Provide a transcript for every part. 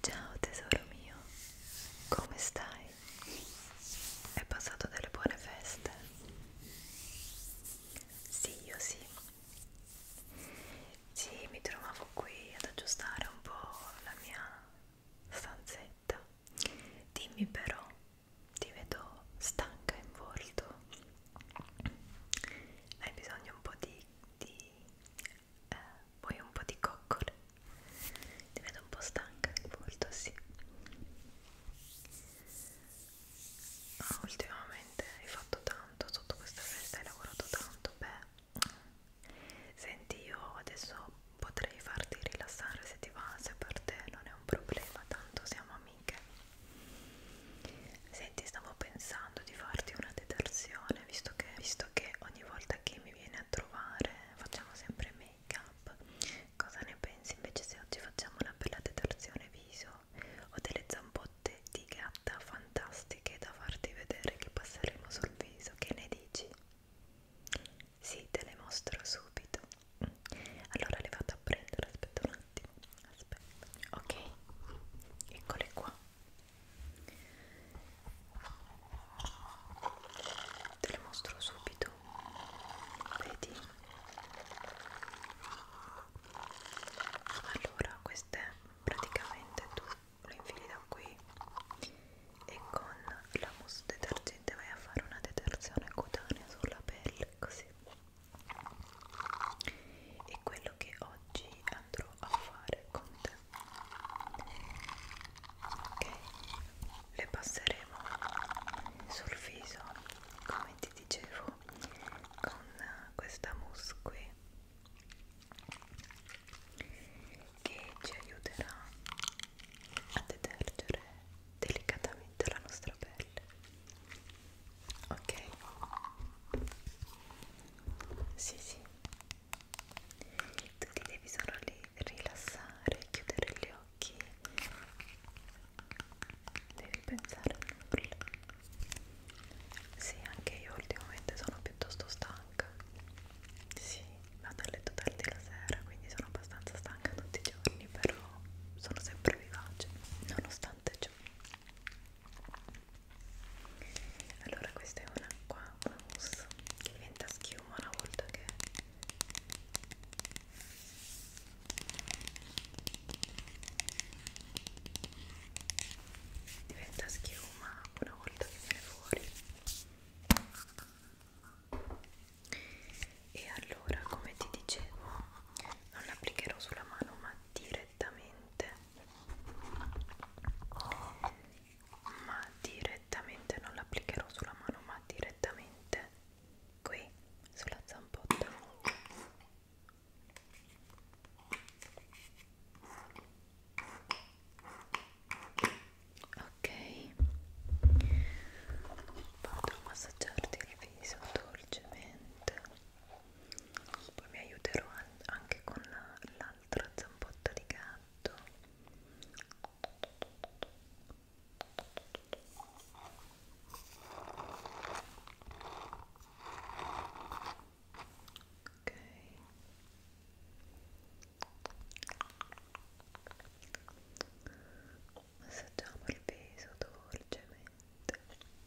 Ciao tesoro mio, come stai? È passato delle buone feste? Sì, io sì sì, mi trovavo qui ad aggiustare un po' la mia stanzetta. Dimmi però, ti vedo stanca in volto. Hai bisogno un po' di... di eh, vuoi un po' di coccole? Ti vedo un po' stanca in volto, sì ah, ultimamente hai fatto tanto sotto questa festa hai lavorato tanto beh senti io adesso potrei farti rilassare se ti va se per te non è un problema tanto siamo amiche senti stavo pensando di farti una detersione visto che, visto che ogni volta che mi vieni a trovare facciamo sempre make up cosa ne pensi invece se oggi facciamo una bella detersione viso ho delle zampotte di gatta fantastiche da farti vedere che passeremo sul viso, che ne dici? Sì, te le mostro subito. Allora le vado a prendere, aspetta un attimo, aspetta, ok, eccole qua. Te le mostro subito dentro vedi allora queste praticamente tu lo infili da qui e con la mousse detergente vai a fare una detersione cutanea sulla pelle così e quello che oggi andrò a fare con te ok le passeremo sul viso come ti vi dicevo con questa mousse qui che ci aiuterà a detergere delicatamente la nostra pelle ok sì sì tu ti devi solo rilassare chiudere gli occhi devi pensare a nulla sì anche io ultimamente sono piuttosto stanca sì vado a letto tardi la sera quindi sono abbastanza stanca tutti i giorni però sono sempre vivace nonostante ciò allora questa è un'acqua mousse che diventa schiuma una volta che diventa schiuma una volta che viene fuori e allora come ti dicevo non l'applicherò sulla mano ma direttamente ma direttamente non l'applicherò sulla mano ma direttamente qui sulla zampotta ok vado a massaggiarti il viso dolcemente poi mi aiuterò anche con l'altra zampotta di gatto ok massaggiamo il viso dolcemente ok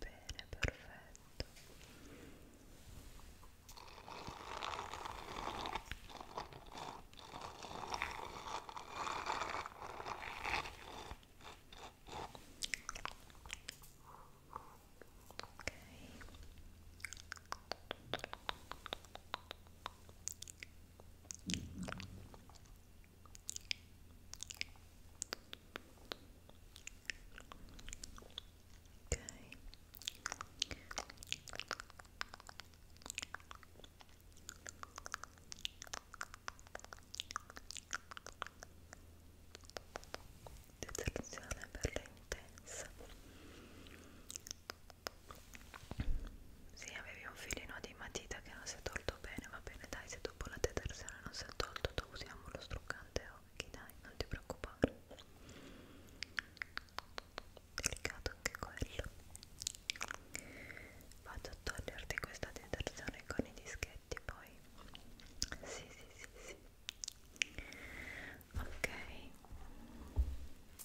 Bene, perfetto. Ok detersione per le intense sì, avevi un filino di matita che non si è tolto bene, va bene, dai, se dopo la detersione non si è tolto, tu usiamo lo struccante occhi, oh, dai, non ti preoccupare. Delicato anche quello. Vado a toglierti questa detersione con i dischetti poi. Sì, sì, sì, sì. Ok.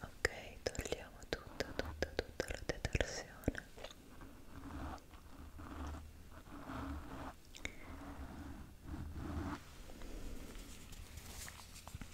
Ok, togliamo tutta, tutta, tutta la detersione. Ok,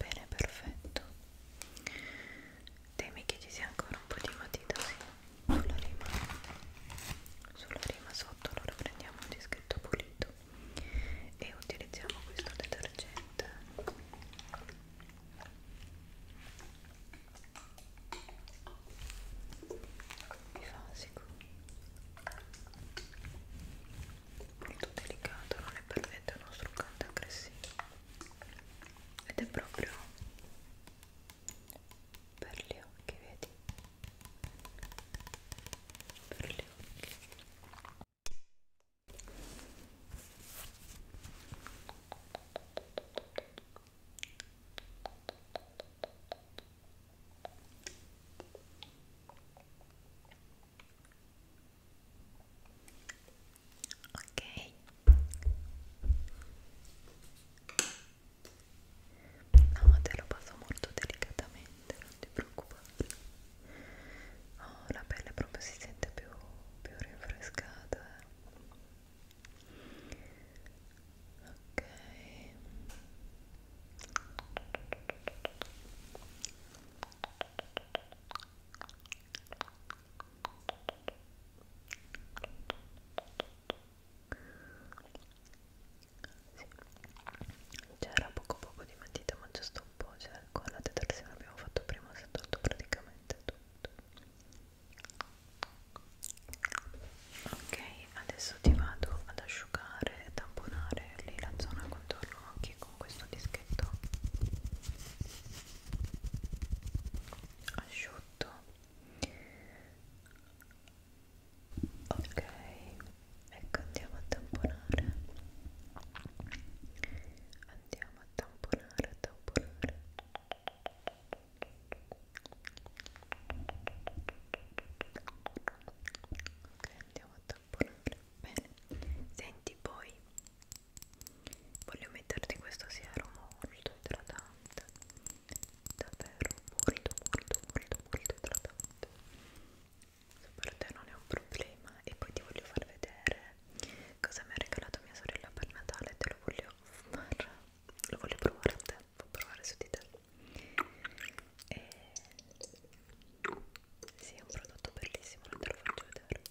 bene perfetto temi che ci sia ancora un po' di matita sì. sulla rima sulla rima sotto allora prendiamo un dischetto pulito e utilizziamo questo detergente mi fa sicuro molto delicato, non è per niente uno struccante aggressivo ed è proprio per gli occhi, vedi? Per gli occhi ok no te lo passo molto delicatamente non ti preoccupare oh, la pelle proprio si sente più, più rinfrescata ok c'era cioè, poco poco di matita ma giusto un po', cioè con la detersione abbiamo fatto prima, si è tolto praticamente tutto. Ok, adesso ti vado ad asciugare e tamponare lì la zona contorno faccio anche con questo dischetto asciutto ok ecco andiamo a tamponare andiamo a tamponare a tamponare ok andiamo a tamponare bene senti poi voglio metterti questo siero molto idratante davvero molto molto molto molto idratante se per te non è un problema e poi ti voglio far vedere cosa mi ha regalato mia sorella per Natale te lo voglio far lo voglio provare a te, provare su di te e sì, è un prodotto bellissimo, non te lo faccio vedere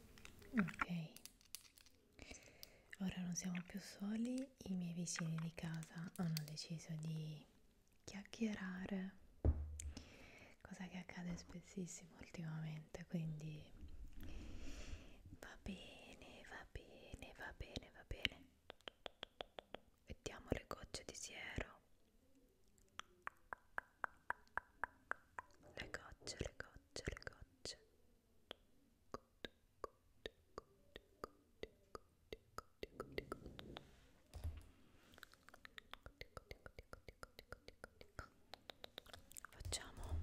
ok ora non siamo più soli i miei vicini di casa hanno deciso di chiacchierare cosa che accade spessissimo ultimamente quindi va bene va bene va bene va bene mettiamo le gocce di siero le gocce, le gocce, le gocce facciamo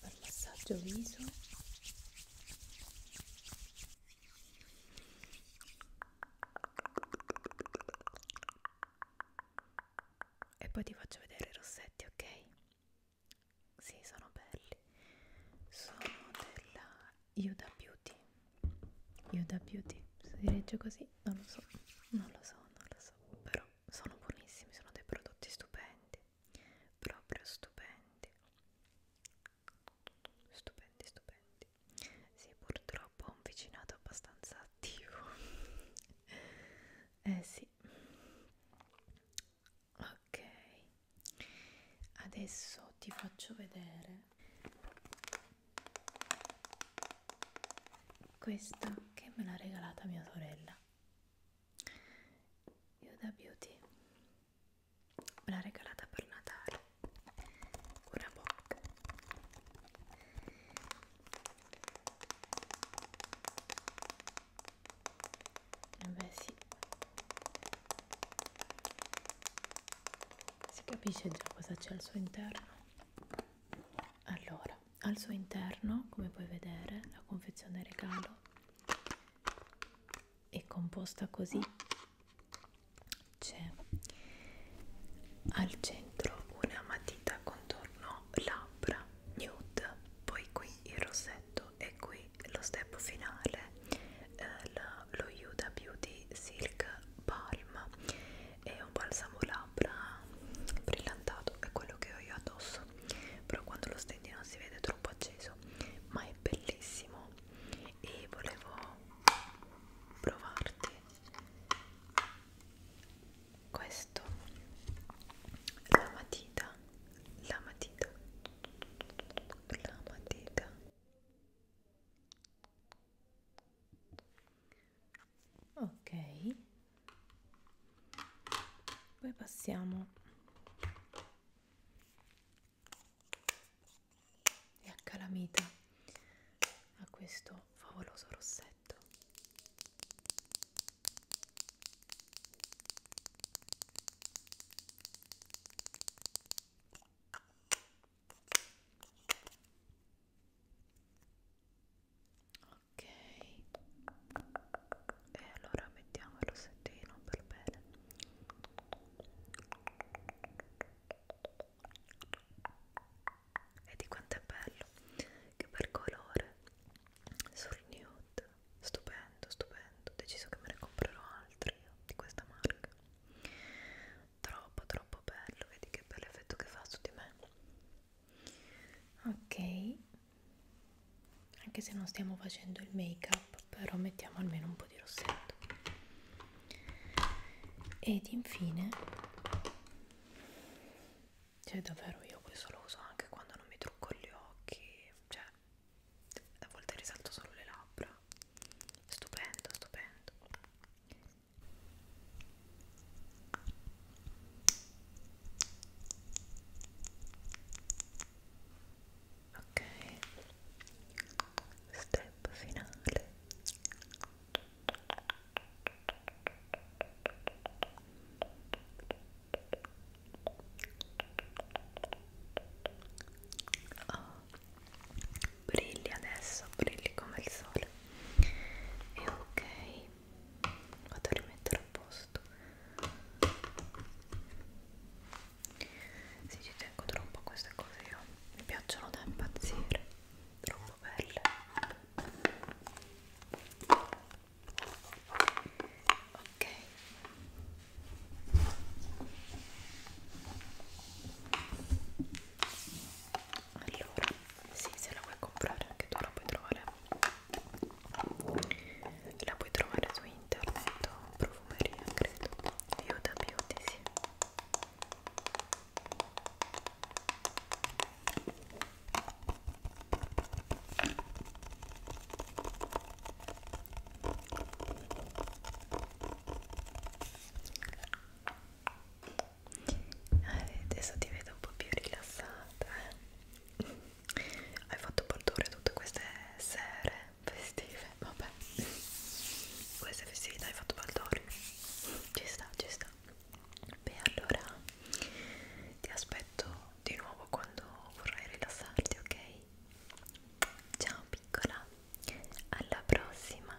per massaggio viso e poi ti faccio vedere i rossetti, ok? Sì, sono belli. Sono della Yuda Beauty. Yuda Beauty, si legge così? Non lo so, non lo so, non lo so. Però sono buonissimi, sono dei prodotti stupendi proprio stupendi stupendi stupendi sì purtroppo ho un vicinato abbastanza attivo eh sì ok adesso ti faccio vedere questa che me l'ha regalata mia sorella io da beauty me l'ha regalata per Natale una bocca eh beh sì si capisce già cosa c'è al suo interno allora al suo interno come puoi vedere la confezione regalo e composta così c'è al centro una matita contorno labbra nude poi qui il rossetto e qui lo step finale eh, la, lo Yuda Beauty Silk Balm è un balsamo labbra brillantato è quello che ho io addosso però quando lo stendi non si vede troppo acceso ma è bellissimo e volevo provarti questo la matita la matita la matita ok poi passiamo e accalamita a questo favoloso rossetto ok e allora mettiamo il rossettino per bene vedi quanto è bello che per colore sul nude stupendo stupendo ho deciso che me ne comprerò altri io, di questa marca troppo troppo bello vedi che bell'effetto che fa su di me ok anche se non stiamo facendo il make up però mettiamo almeno un po' di rossetto ed infine cioè davvero io questo lo uso anche quando non mi trucco gli occhi cioè a volte risalto solo le labbra stupendo stupendo ok step finale oh, brigli adesso brigli come il sole e ok vado a rimettere a posto se ci tengo troppo queste cose io mi piacciono da impazzire troppo belle ok allora sì se la vuoi comprare anche tu la puoi trovare la puoi trovare su internet o profumeria credo Viuda Beauty sì eh, adesso ti vedo un po' più rilassata eh. hai fatto portare tutte queste sere festive vabbè queste festività hai fatto Baldormi ci sta ci sta beh allora ti aspetto di nuovo quando vorrai rilassarti ok ciao piccola alla prossima